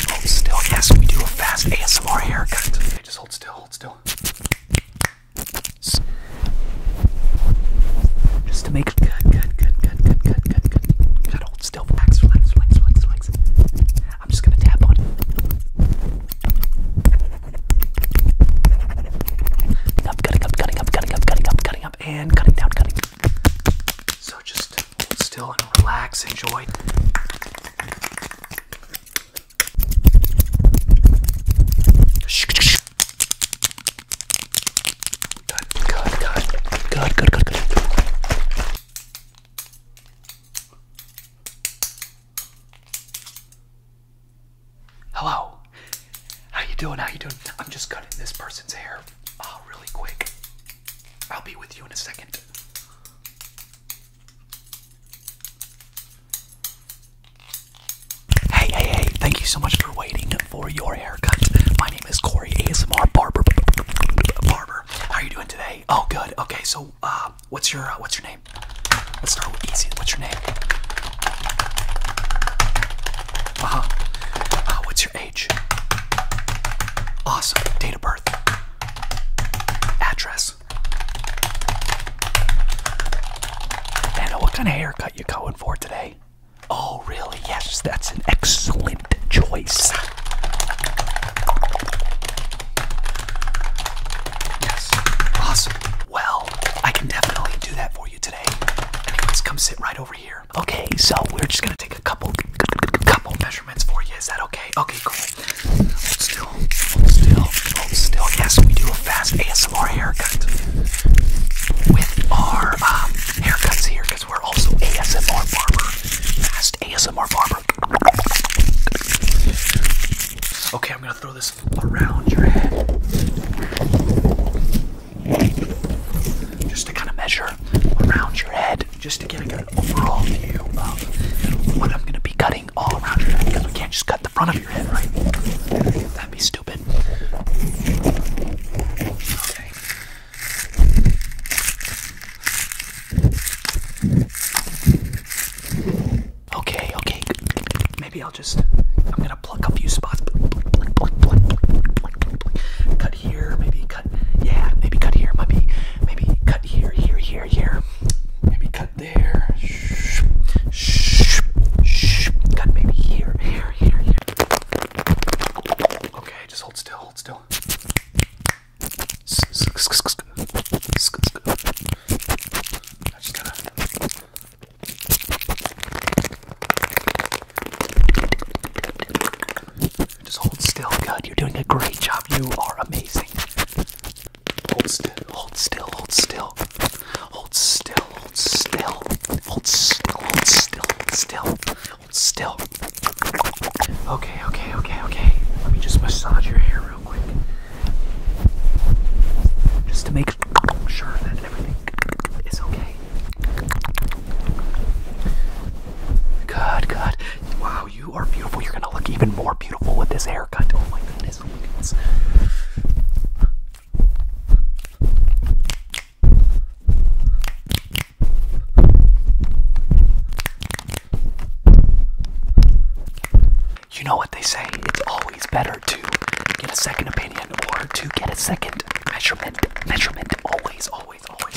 Hold still. Yes, we do a fast ASMR haircut. just hold still, hold still. Just to make good, good, good, good, good, good, good, good. Gotta still. Relax, relax, relax, relax, relax. I'm just gonna tap on it. Up, cutting up, cutting up, cutting up, cutting up, cutting up, and cutting down, cutting. So just still and relax. Enjoy. Good, good, good, good, good, good, good. Hello. How you doing? How you doing? I'm just cutting this person's hair uh, really quick. I'll be with you in a second. Hey, hey, hey, thank you so much for waiting for your haircut. My name is Corey ASMR Barber. Barber, how are you doing today? Oh, good. Okay, so uh, what's your uh, what's your name? Let's start easy. What's your name? Uh huh. Uh, what's your age? Awesome. Date of birth address. Anna, what kind of haircut you going for today? Oh, really? Yes, that's an excellent choice. Yes, awesome. Well, I can definitely do that for you today. Anyways, come sit right over here. Okay, so we're just gonna take a couple, couple measurements. Is that okay? Okay, cool. Hold still, hold still, hold still. Yes, we do a fast ASMR haircut with our um, haircuts here because we're also ASMR barber. Fast ASMR barber. Okay, I'm gonna throw this around your head. Just to kind of measure around your head just to get a good overall view of what I'm going to be cutting all around your head because we can't just cut the front of your head, right? That'd be stupid. Okay. Okay, okay. Maybe I'll just. I'm gonna pluck a few spots. Cut here, maybe maybe cut. Yeah, maybe cut here. Maybe maybe cut here, here, here, here. Maybe cut there. Shh, shh, shh. Cut maybe here, here, here, here. Okay, just hold still, hold still. I just gotta. Just hold still. Good. You're doing a great job. You are amazing. Hold still. Hold still. Hold still. Hold still. Hold still. Hold still. Hold still. Hold still. Hold still. Okay. Okay. Okay. Okay. Let me just massage your hair real quick, just to make sure that everything is okay. Good. Good. Wow, you are beautiful. You're gonna look even more beautiful with this haircut. Oh, oh my goodness, You know what they say, it's always better to get a second opinion or to get a second measurement. Measurement always, always, always.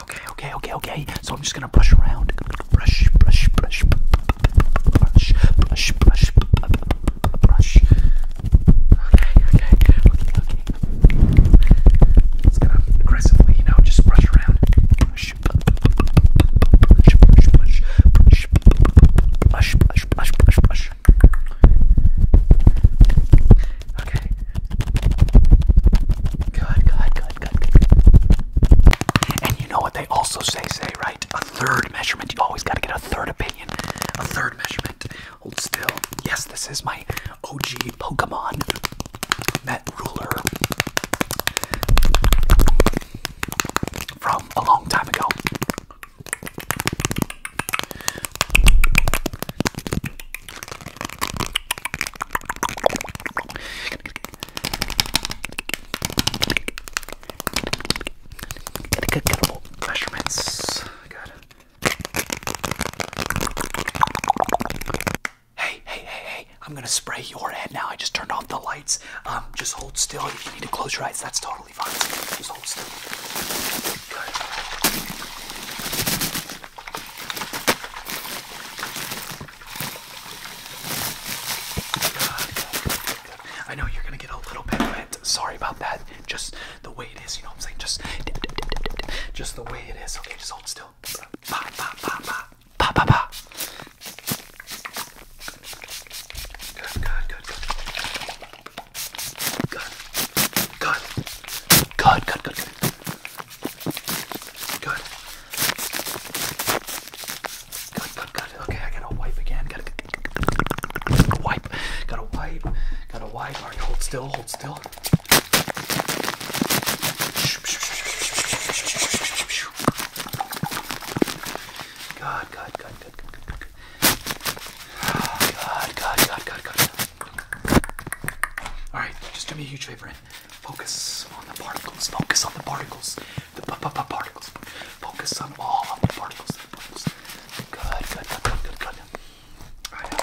Okay, okay, okay, okay. So I'm just gonna brush around. Brush, brush, brush, brush, brush, brush, brush. brush. Okay, okay, okay, okay. It's gonna aggressively, you know, just brush around. Brush, brush, brush, brush, brush, brush, brush, brush, brush, brush. Okay. Good, good, good, good, And you know what they also say, say, right? A third measurement. You always got to get a third opinion. A third measurement. Hold still. Yes, this is my OG Pokemon Met Ruler from a long time ago measurements. Hey, hey, hey, hey! I'm gonna spray your head now. I just turned off the lights. Um, just hold still. If you need to close your eyes, that's totally totally fine. Just hold still. Good. Good, good, good. I know you're gonna get a little bit wet. Sorry about that. Just the way it is, you know what I'm saying? Just dip, dip, dip, dip, dip. just the way it is. Okay, just hold still. Pa pa pa pa pa pa pa. Good, good, good, good. Good. Good. Good. Good. Good. Good. Good. Good. Good. Okay, I gotta wipe again. Gotta, gotta wipe. Gotta wipe. Gotta wipe. All right, hold still. Hold still. Good. Good. Good good, good, good, good. Good, good, good, good, good. Alright, just do me a huge favor and focus on the particles. Focus on the particles. The p -p -p particles. Focus on all of the particles. The particles. Good, good, good, good, good, good. Alright. Good.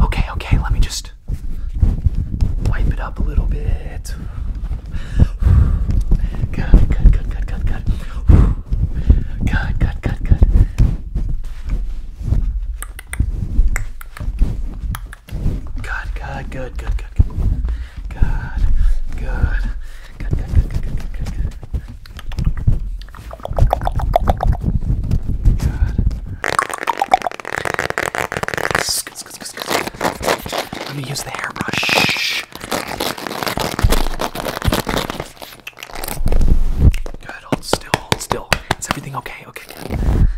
Okay, okay, let me just wipe it up a little bit. Good, good, good, good, good, good. Good, good, good, good. Good, good, good, good, good. Good, good. Good, good, good, good, good, good, good. Good. Let me use the hairbrush. Good, hold still, hold still. Is everything okay? Okay, okay. I'm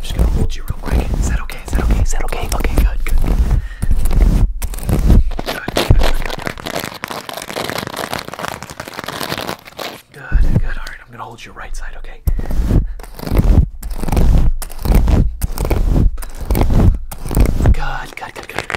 just gonna hold you real quick. Is that okay? Is that okay? Is that okay? Okay, good, good. Good, good, good. Good, good. Alright, I'm gonna hold your right side, okay? Good, good, good, good.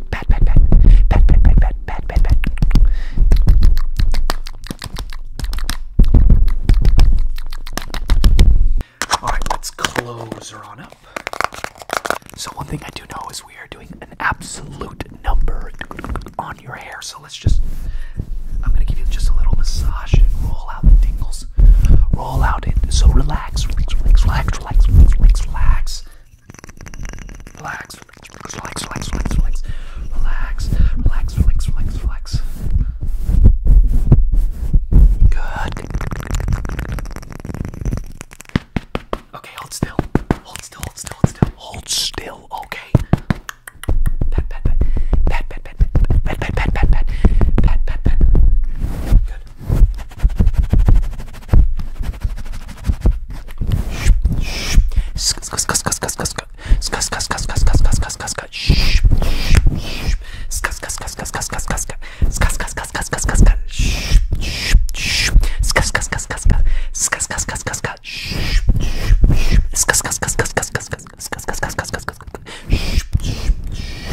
All right, let's close her on up. So one thing I do know is we are doing an absolute number on your hair. So let's just, I'm gonna give you just a little massage and roll out the tingles. Roll out it. So relax, relax, relax, relax, relax, relax. Relax, relax, relax, relax, relax, relax, relax, relax, relax, relax. Good. Okay, hold still. Hold still, hold still, hold still. Hold still, okay. Pat, pat, pat. Pat, pat, pat, pat, pat, pat, pat, pat, pat, pat, pat, pat. Good good.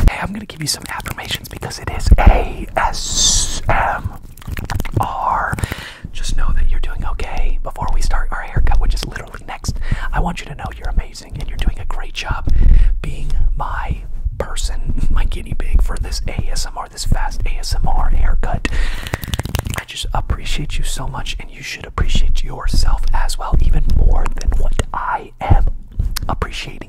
Hey, I'm gonna give you some affirmations because it is ASM are, just know that you're doing okay. Before we start our haircut, which is literally next, I want you to know you're amazing and you're doing a great job being my person, my guinea pig for this ASMR, this fast ASMR haircut. I just appreciate you so much, and you should appreciate yourself as well, even more than what I am appreciating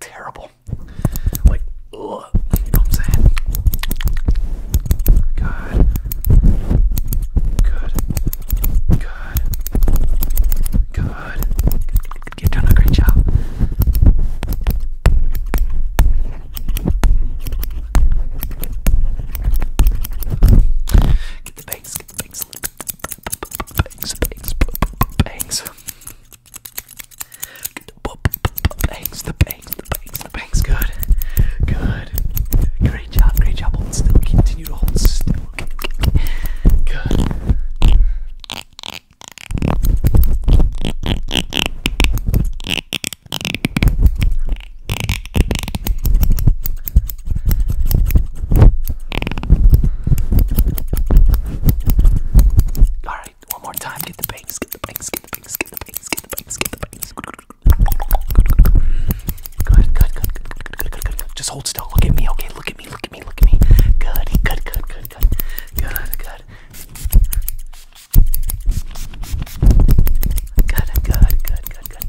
terrible. Like, you know what I'm saying? Good. Good. Good. Good. You're a great job. Get the bass, bangs, bangs, bangs, bangs. Bangs, the bangs, the bangs, the bangs. Good, good. Great job, great job. Hold still. Continue to hold still. Okay, okay. Good. Alright, one more time. Get the bangs, get the bangs, get the bangs, get the bangs, get the bangs, get the bangs. Good, good, good, good, good, good, good, good, good. Just hold still. Look at me, okay? Look at me, look at me, look at me. Good, good, good, good, good. Good, good. Good, good, good, good, good.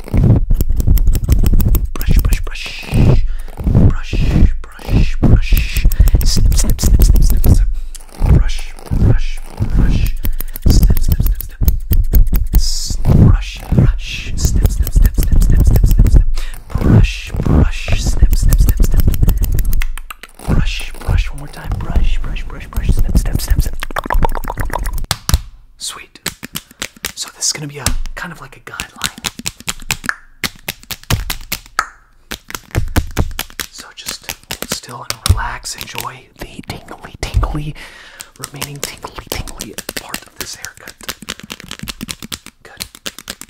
Brush, brush, brush. Brush, brush, brush. Snip, snip, snip, snip, snip, snip. Brush, brush, brush. Snip, snip, snip, snip. Brush, brush. Snip, snip, snip, snip, snip, snip, snip, snip. Brush, brush. Snip, snip, snip, snip. Brush, brush. One more time. Brush, brush, brush, brush. Snip, snip, snip, snip. Sweet. So this is going to be a kind of like a guideline. So just hold still and relax. Enjoy the tingly, tingly, remaining tingly, tingly part of this haircut. Good.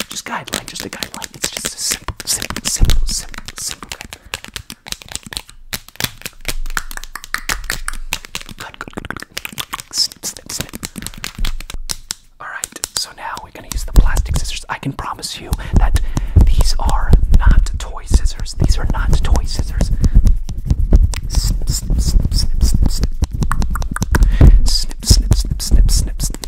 Just guideline, just a guideline. It's just a simple, simple, simple, simple, simple. good, good, Snip, snip, snip. Alright, so now we're gonna use the plastic scissors. I can promise you that these are not toy scissors. These are not toy scissors. Snip, snip, snip, snip, snip, snip. Snip, snip, snip, snip, snip, snip.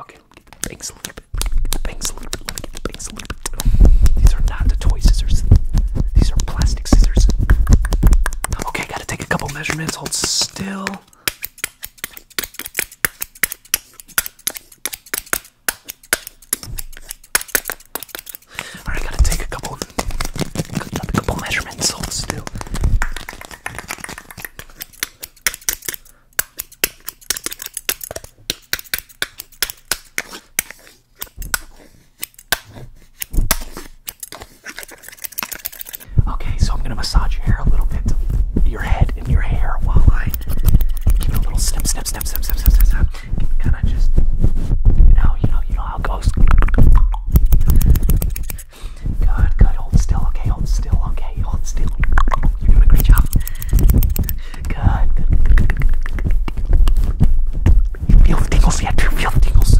Okay, let me get the bangs a little bit. Let me get the bangs a little bit. Let me get the bangs a little bit. These are not the toy scissors. These are plastic plastic scissors. Okay, gotta take a couple measurements. Hold still. Alright, gotta take a couple, a couple measurements. Hold still. Okay, so I'm going to massage your hair a little bit, your head and your hair while I give it a little snip, snip, snip, snip, snip, snip, snip, snip. Kind of just, you know, you know, you know how it goes. Good, good. Hold still, okay. Hold still, okay. Hold still. You're doing a great job. good. You feel tingles yet? Do you feel tingles?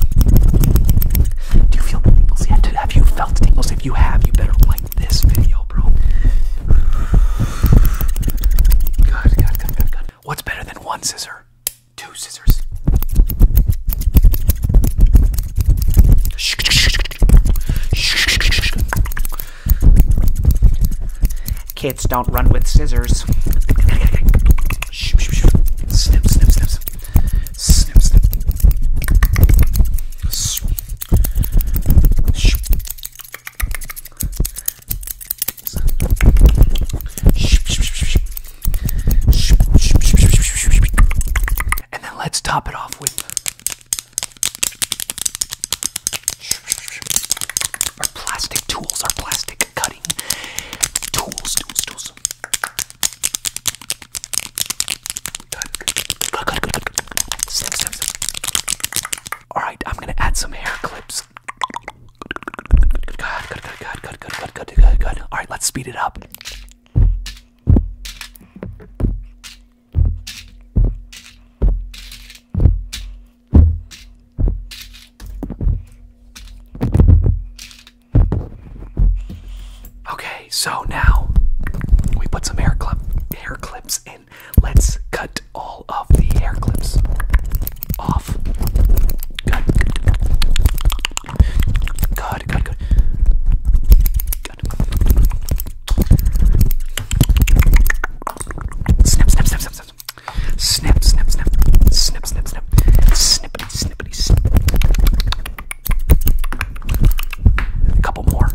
Do you feel tingles yet? Have you felt tingles? If you have, you better like this video, bro. Good, good, good, good, good. What's better than one scissor? Two scissors. Kids don't run with scissors. Snip, snip, snip, snip. Snip, snip. And then let's top it off with our plastic tools, our plastic cutting tools, tools, tools. Good. Good, good, good, good, good. Snip, snip, snip. All right, I'm gonna add some hair clips. Good, good, good, good, good, good, good, good, good. All right, let's speed it up. Okay, so now we put some hair clip hair clips in. Let's cut all of the hair clips off. Good. Good, good, good. Good. Snip, snip, snip, snip, snip, this. Snip, snip, snip, snip, snip, snip, snippity, snippity, snip. A couple more.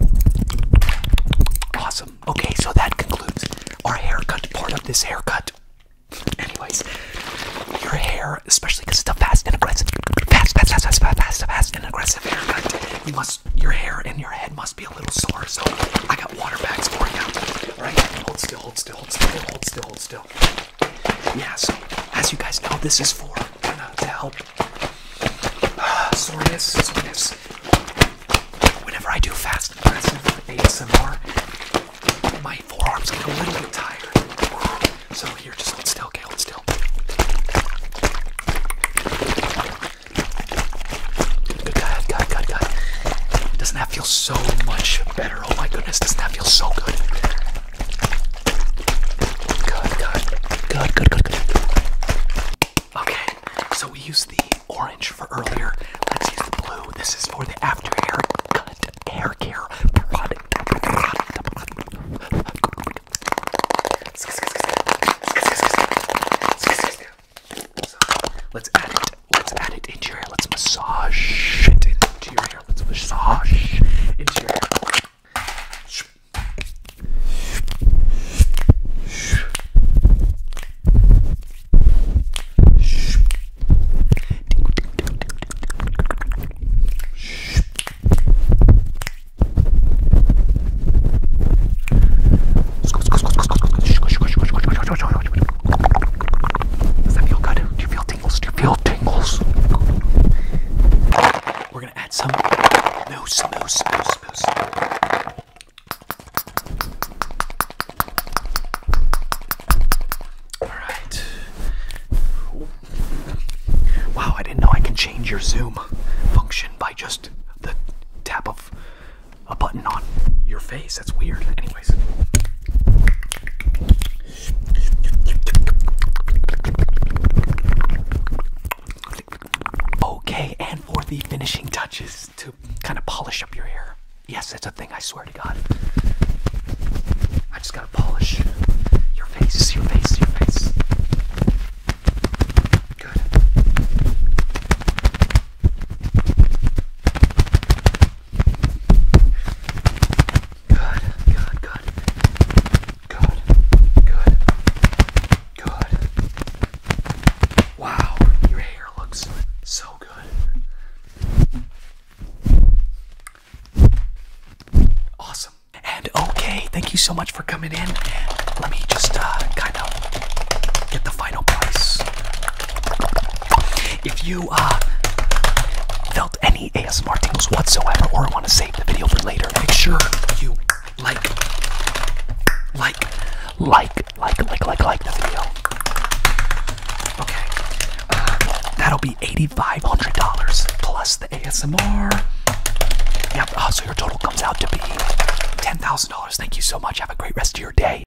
Awesome. Okay, so that concludes our haircut part of this haircut. Anyways, your hair, especially because it's a fast and aggressive, fast, fast, fast, fast, fast, fast, fast and aggressive haircut. You must, your hair and your head must be a little sore. So I got water bags for you. All right, hold still, hold still, hold still, hold still, still. Yeah, so as you guys know, this is for to help uh, soreness, soreness. Whenever I do fast impressive ASMR, my forearms get a little bit tired. So here, just hold still, okay, hold still. Good, good, good, good, good. Doesn't that feel so much better? Oh my goodness, doesn't that feel so good? Good, good, good, good, good, good. Okay, so we used the orange for earlier. Let's use blue. This is for the after haircut hair care product. let's add it. Let's add it into your hair. Let's massage it into your hair. Let's massage into your hair. Does that feel good? Do you feel tingles? Do you feel tingles? We're gonna add some mousse, mousse, mousse, mousse. All right. Wow, I didn't know I can change your Zoom function by just the tap of a button on your face. That's weird. Anyways. Okay, and for the finishing touches to kind of polish up your hair. Yes, that's a thing, I swear to God. I just gotta polish your face, See your face, See your face. Good. Good, good, good. Good, good, good. Wow, your hair looks so good. Awesome. And okay, thank you so much for coming in. Let me just uh, kind of get the final price. If you uh, felt any ASMR tingles whatsoever or want to save the video for later, make sure you like, like, like, like, like, like, like the video. Okay. Uh, that'll be $8,500 plus the ASMR. Yep, uh, so your total comes out to be $10,000. Thank you so much. Have a great rest of your day.